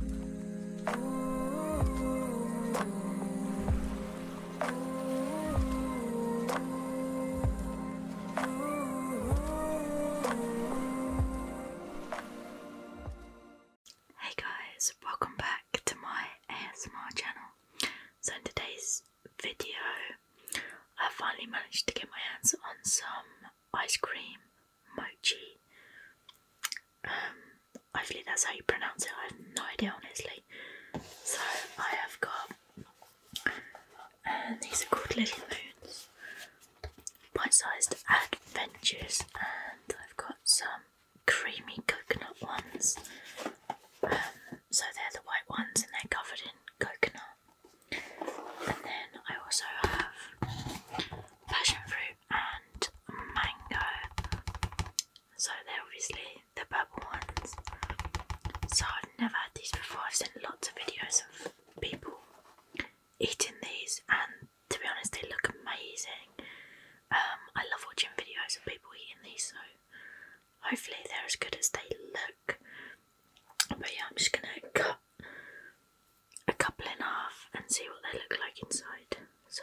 Hey guys, welcome back to my ASMR channel. So, in today's video, I finally managed to get my hands on some ice cream, mochi. Um, hopefully that's how you pronounce it. I have no idea, honestly. So I have got, and these are called Little Moons, bite-sized adventures, and I've got some creamy coconut ones. Um, so they're the white ones, and they're covered in coconut. And then I also have passion fruit and mango. So they're obviously the purple ones. So I've never had these before. I've seen lots of videos of people eating these, and to be honest, they look amazing. Um, I love watching videos of people eating these, so hopefully they're as good as they look. But yeah, I'm just gonna cut a couple in half and see what they look like inside. So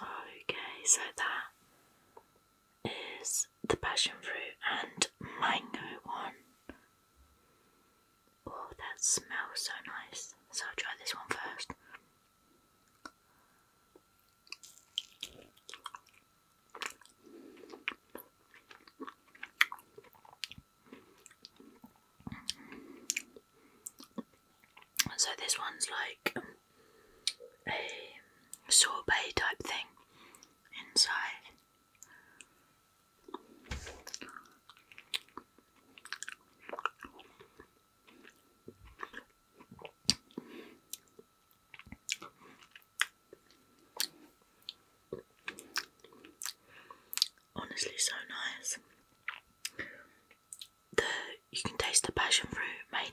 Okay, so that is the passion fruit and mango one. Oh, that smells so nice. So I'll try this one first. So this one's like a sorbet type thing inside. Honestly, so nice. The you can taste the passion fruit mainly.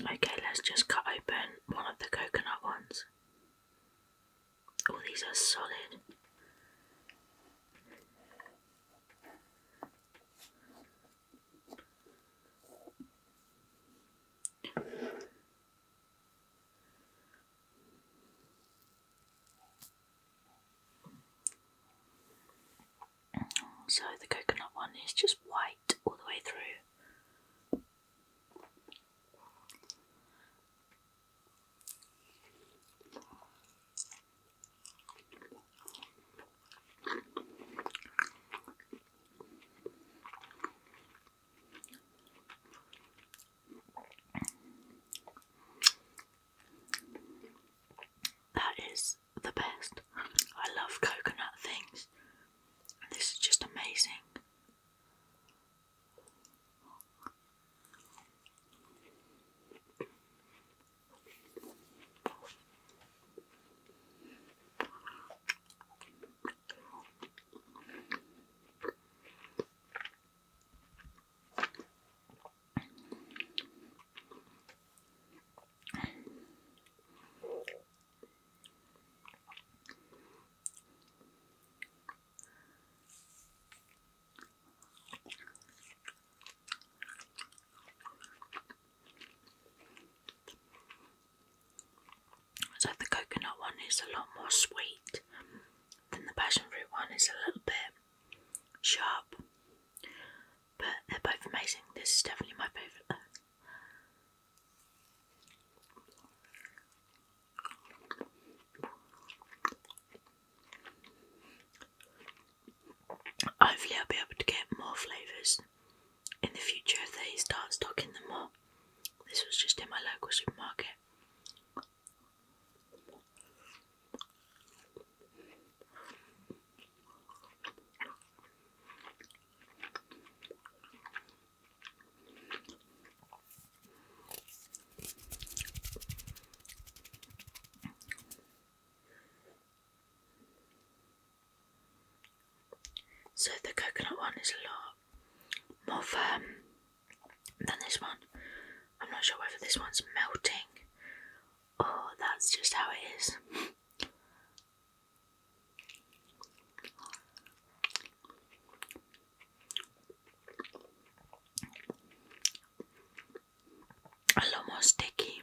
Okay, let's just cut open one of the coconut ones. All oh, these are solid. So the coconut one is just white all the way through. That is the best. I love coconut things. And this is just amazing. So the coconut one is a lot more sweet than the passion fruit one is a little bit sharp but they're both amazing. This is definitely my favourite Hopefully, I'll be able to get more flavours in the future if they start stocking them more. This was just in my local supermarket. So the coconut one is a lot more firm than this one. I'm not sure whether this one's melting Oh, that's just how it is. A lot more sticky.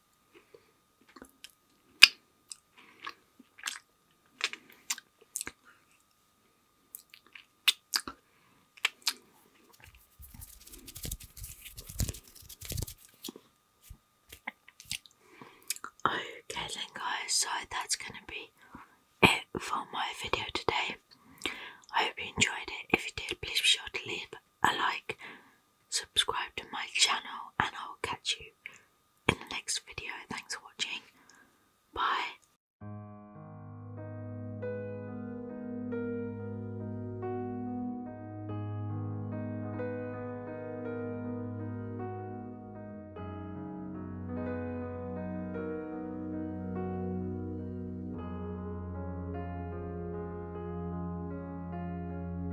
Okay then guys, so that's gonna be it for my video today. I hope you enjoyed it. If you did, please be sure to leave a like, subscribe to my channel, and I'll catch you in the next video. Thanks for watching. Bye.